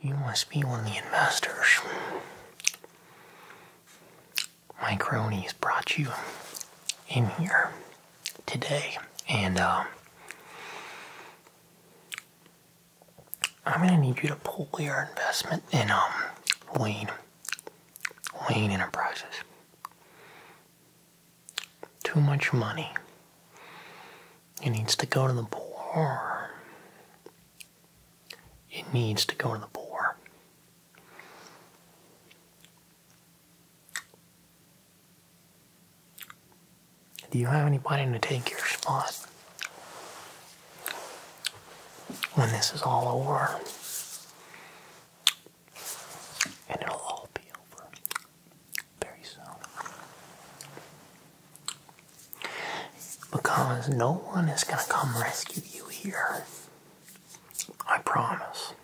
You must be one of the investors. My cronies brought you in here today, and uh, I'm gonna need you to pull your investment in um, Wayne Enterprises. Too much money. It needs to go to the bore. It needs to go to the bore. Do you have anybody to take your spot when this is all over? And it'll all be over very soon. Because no one is going to come rescue you here. I promise.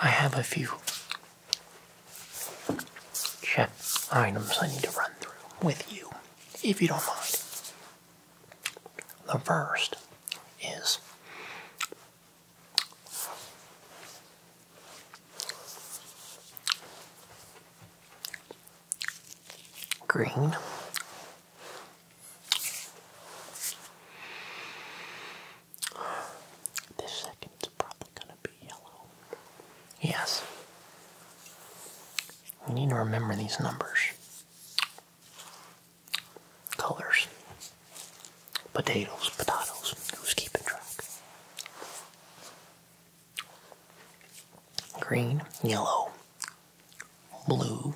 I have a few check items I need to run through with you, if you don't mind. The first is green. This second's probably gonna be yellow. Yes. We need to remember these numbers colors. Potatoes, potatoes. Who's keeping track? Green, yellow, blue,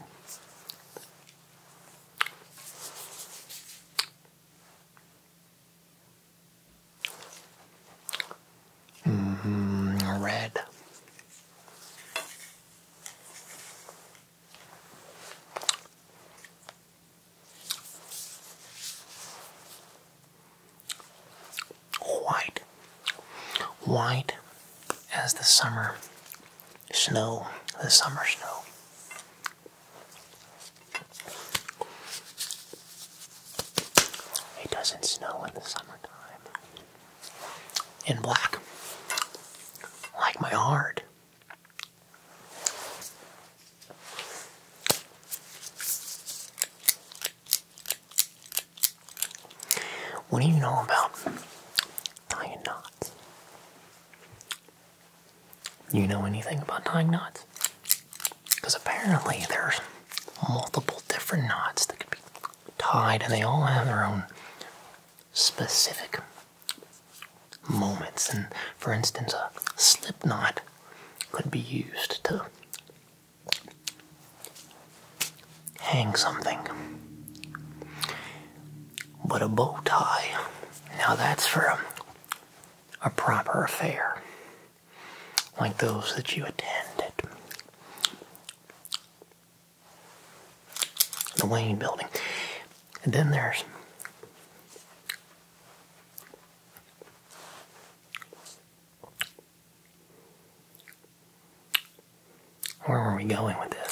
mm-hmm, red, White, white as the summer snow, the summer snow. It doesn't snow in the summertime. In black, like my heart. What do you know about tying knots? You know anything about tying knots? Because apparently there's multiple different knots that could be tied and they all have their own specific moments. And for instance, a slip knot could be used to hang something. But a bow tie, now that's for a, proper affair, like those that you attended the Wayne Building. And then there's where were we going with this?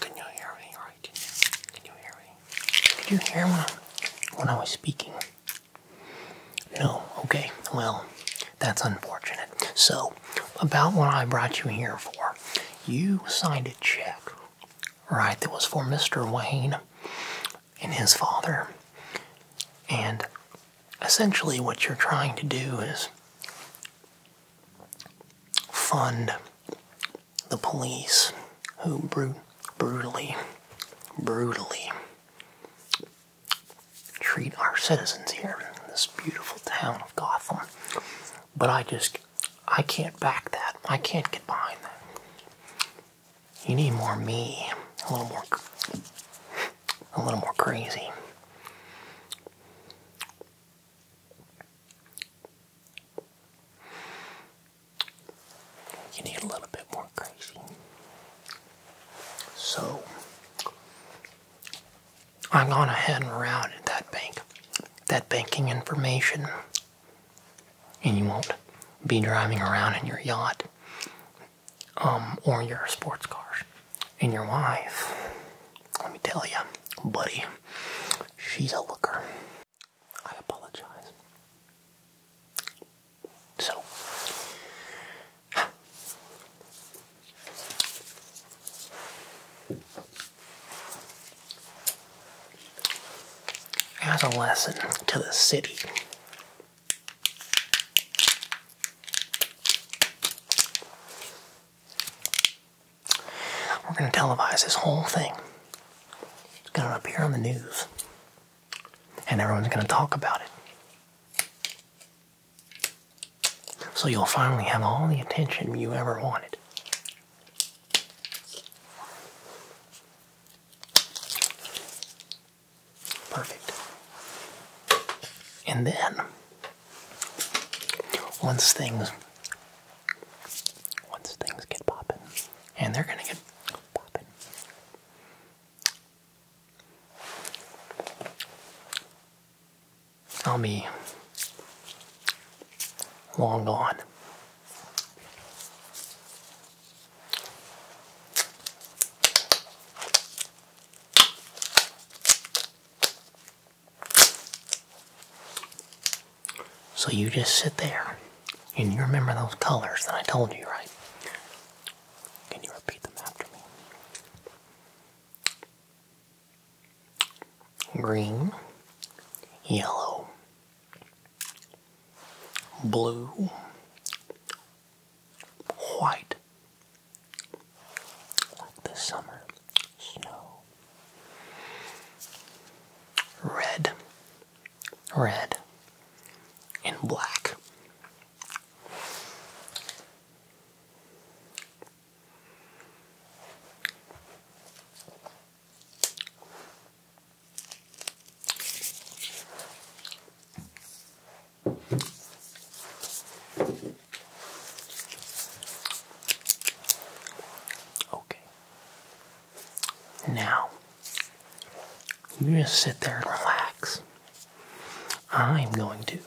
Can you hear me right? Can you hear me? Did you hear me when I was speaking? No, okay. Well, that's unfortunate. So, about what I brought you here for, you signed a check, right, that was for Mr. Wayne and his father. And essentially, what you're trying to do is fund the police who brutally, brutally treat our citizens here in this beautiful town of Gotham. But I just, I can't back that. I can't get behind that. You need more me, a little more, a little more crazy. You need a little bit more crazy. So, I've gone ahead and routed that bank, that banking information and you won't be driving around in your yacht um, or your sports cars. And your wife, let me tell you, buddy, she's a looker. I apologize. So, as a lesson to the city we're going to televise this whole thing. It's going to appear on the news. And everyone's going to talk about it. So you'll finally have all the attention you ever wanted. Perfect. And then, once things, once things get popping, and they're gonna get popping, I'll be long gone. So you just sit there and you remember those colors that I told you, right? Can you repeat them after me? Green, yellow, blue, white, like the summer snow, red, red, and black. Okay. Now, you just sit there and relax. I'm going to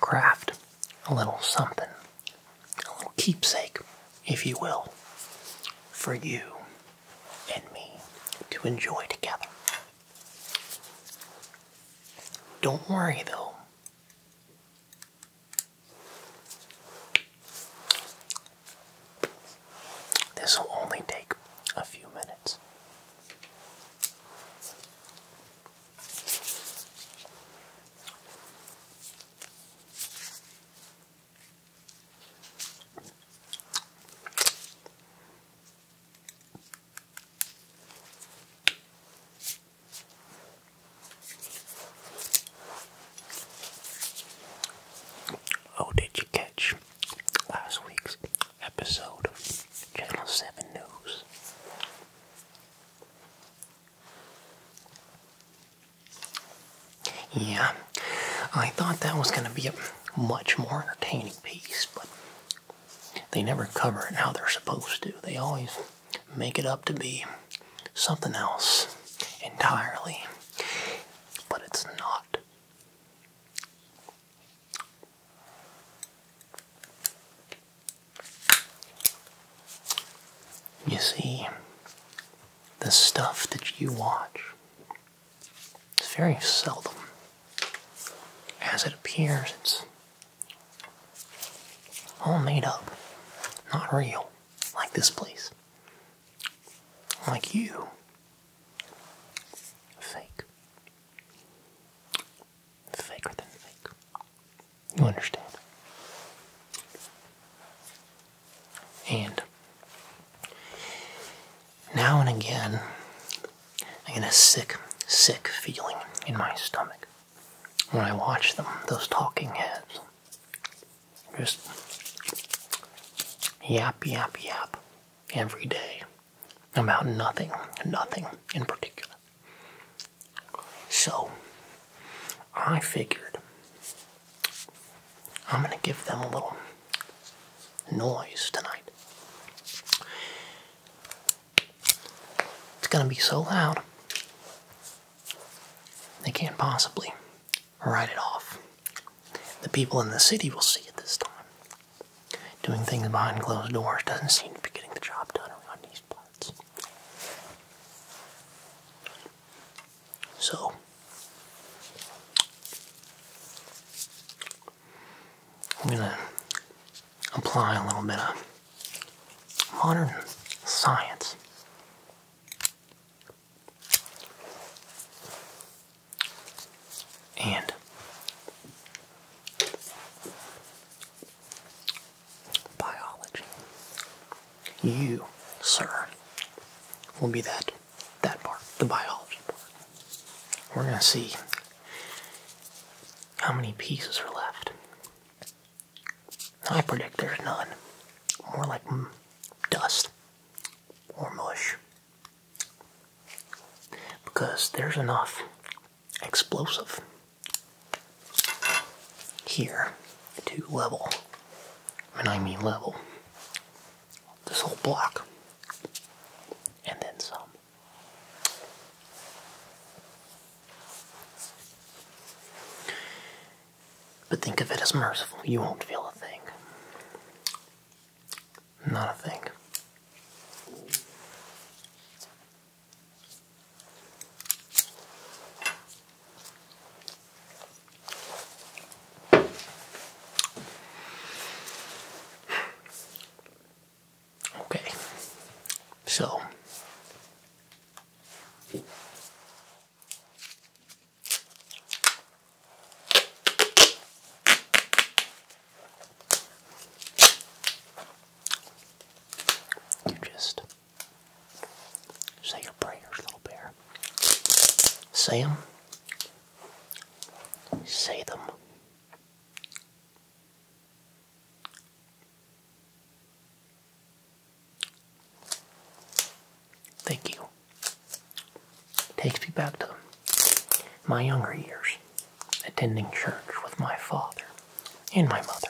craft a little something a little keepsake, if you will, for you and me to enjoy together. Don't worry though. This will only take a few minutes. Oh, did you catch last week's episode of Channel 7 News? Yeah, I thought that was going to be a much more entertaining piece, but they never cover it how they're supposed to. They always make it up to be something else entirely, but it's not. You see, the stuff that you watch. It's very seldom. As it appears, it's all made up, not real, like this place. Like you. Fake. Faker than fake. You understand? And now and again, I get a sick, sick feeling in my stomach when I watch them, those talking heads. Just yap, yap, yap every day about nothing, nothing in particular. So, I figured I'm going to give them a little noise tonight. It's going to be so loud, they can't possibly write it off. The people in the city will see it this time. Doing things behind closed doors doesn't seem to be getting the job done around these parts. So, I'm going to apply a little bit of modern science. And biology you, sir, will be that that part, the biology part. We're gonna see how many pieces are left. I predict there's none. More like mm, dust or mush. Because there's enough explosive here to level and I mean level, this whole block, and then some. But think of it as merciful. You won't feel a thing. Not a thing. Okay, so you just Say your prayers, little bear. Say them. Say them. Thank you. Takes me back to my younger years, attending church with my father and my mother.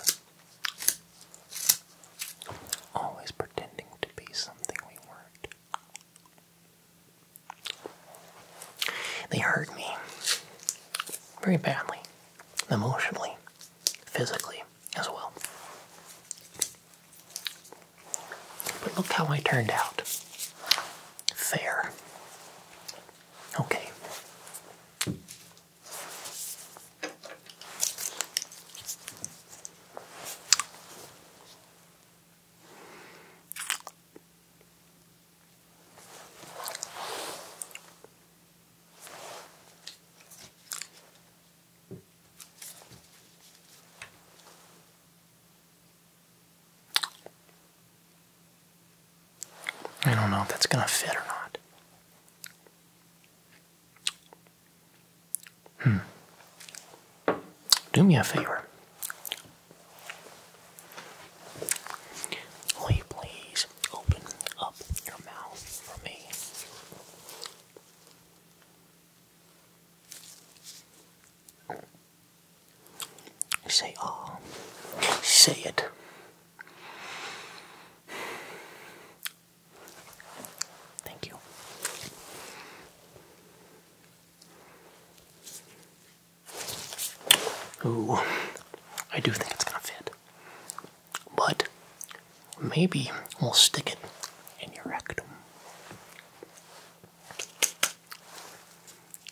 Always pretending to be something we weren't. They hurt me very badly, emotionally, physically as well. But look how I turned out. Fair. Okay. I don't know if that's going to fit or not. Hmm. Do me a favor. Will you please open up your mouth for me? Say ah. Say it. Thank you. Ooh, I do think it's gonna fit. But maybe we'll stick it in your rectum.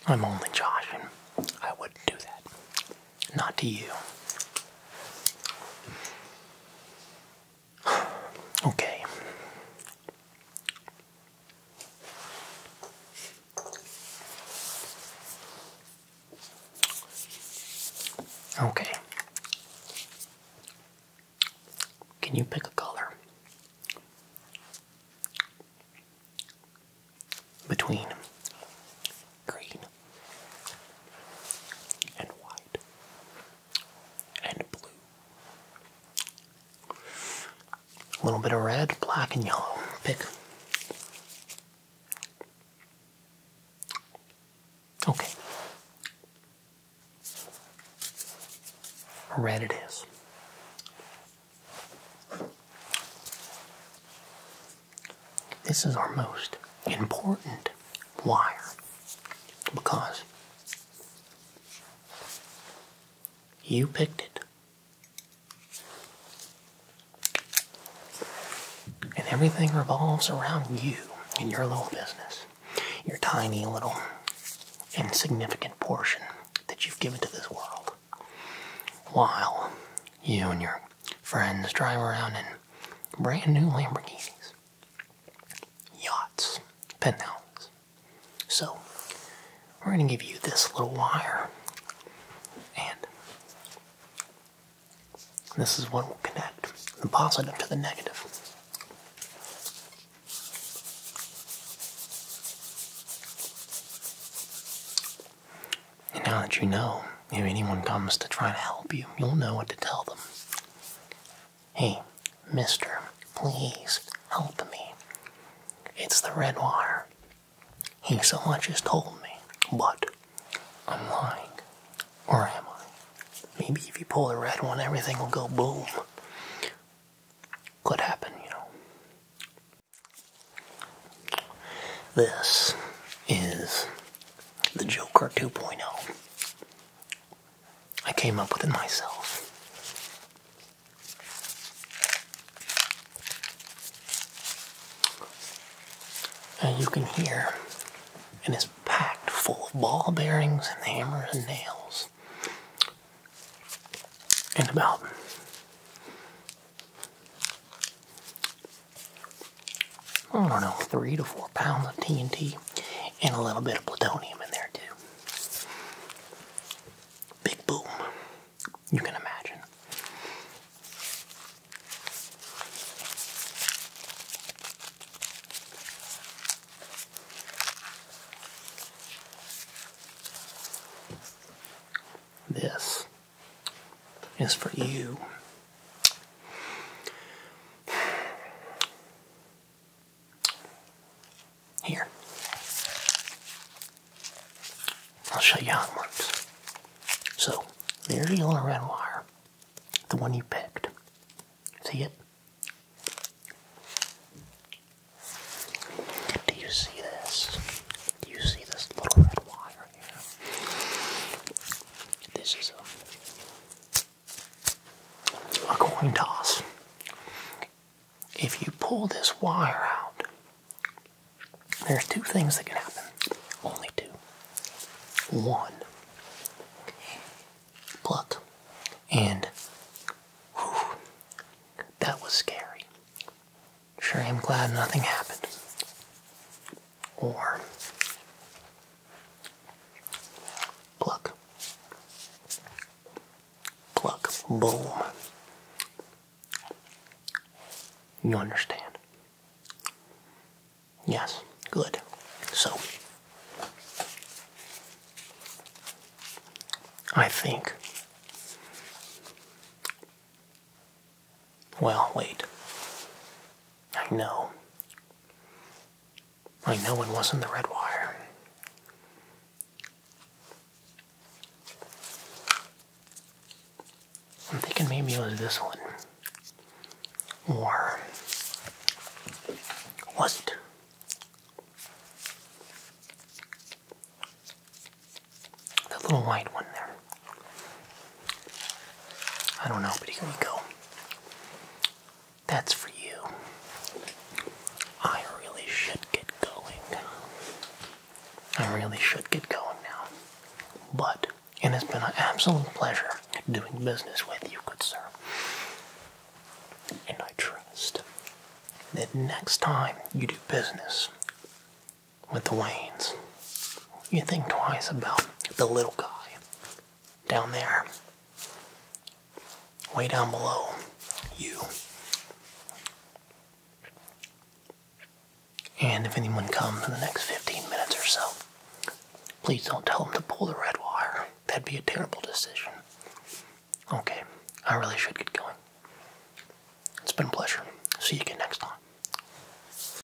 I'm only joshing. I wouldn't do that. Not to you. Okay. Okay. Can you pick a color between green and white and blue. A little bit of red, black, and yellow. Pick. Okay. Red it is. This is our most important wire because you picked it. And everything revolves around you and your little business, your tiny little insignificant portion that you've given to this world. While you and your friends drive around in brand new Lamborghinis yachts, pen So we're going to give you this little wire, and this is what will connect the positive to the negative. And now that you know if anyone comes to try to help you, you'll know what to tell them. Hey, mister, please help me. It's the red wire. He so much as told me, but I'm lying. Or am I? Maybe if you pull the red one, everything will go boom. Could happen, you know. This is the Joker 2.0. I came up with it myself. And you can hear And it is packed full of ball bearings and hammers and nails. And about I don't know, three to four pounds of TNT and a little bit of plutonium in there, too. Big boom. You can imagine. This is for you here. I'll show you how it works. So, there's your little red wire. The one you picked. See it? Do you see this? Do you see this little red wire? This is a, coin toss. If you pull this wire out, there's two things that can happen. Only two. One, pluck, and that was scary. Sure, I'm glad nothing happened. Or Pluck. Pluck. Boom. You understand? Yes. Good. So, I think well, wait. I know. I know it wasn't the red wire. I'm thinking maybe it was this one. Or was it? The little white one there. I don't know, but here you go. That's for you. I really should get going. I really should get going now. But it has been an absolute pleasure doing business with you, good sir. And I trust that next time you do business with the Waynes, you think twice about the little guy down there, way down below you. And if anyone comes in the next 15 minutes or so, please don't tell them to pull the red wire. That'd be a terrible decision. Okay, I really should get going. It's been a pleasure. See you again next time.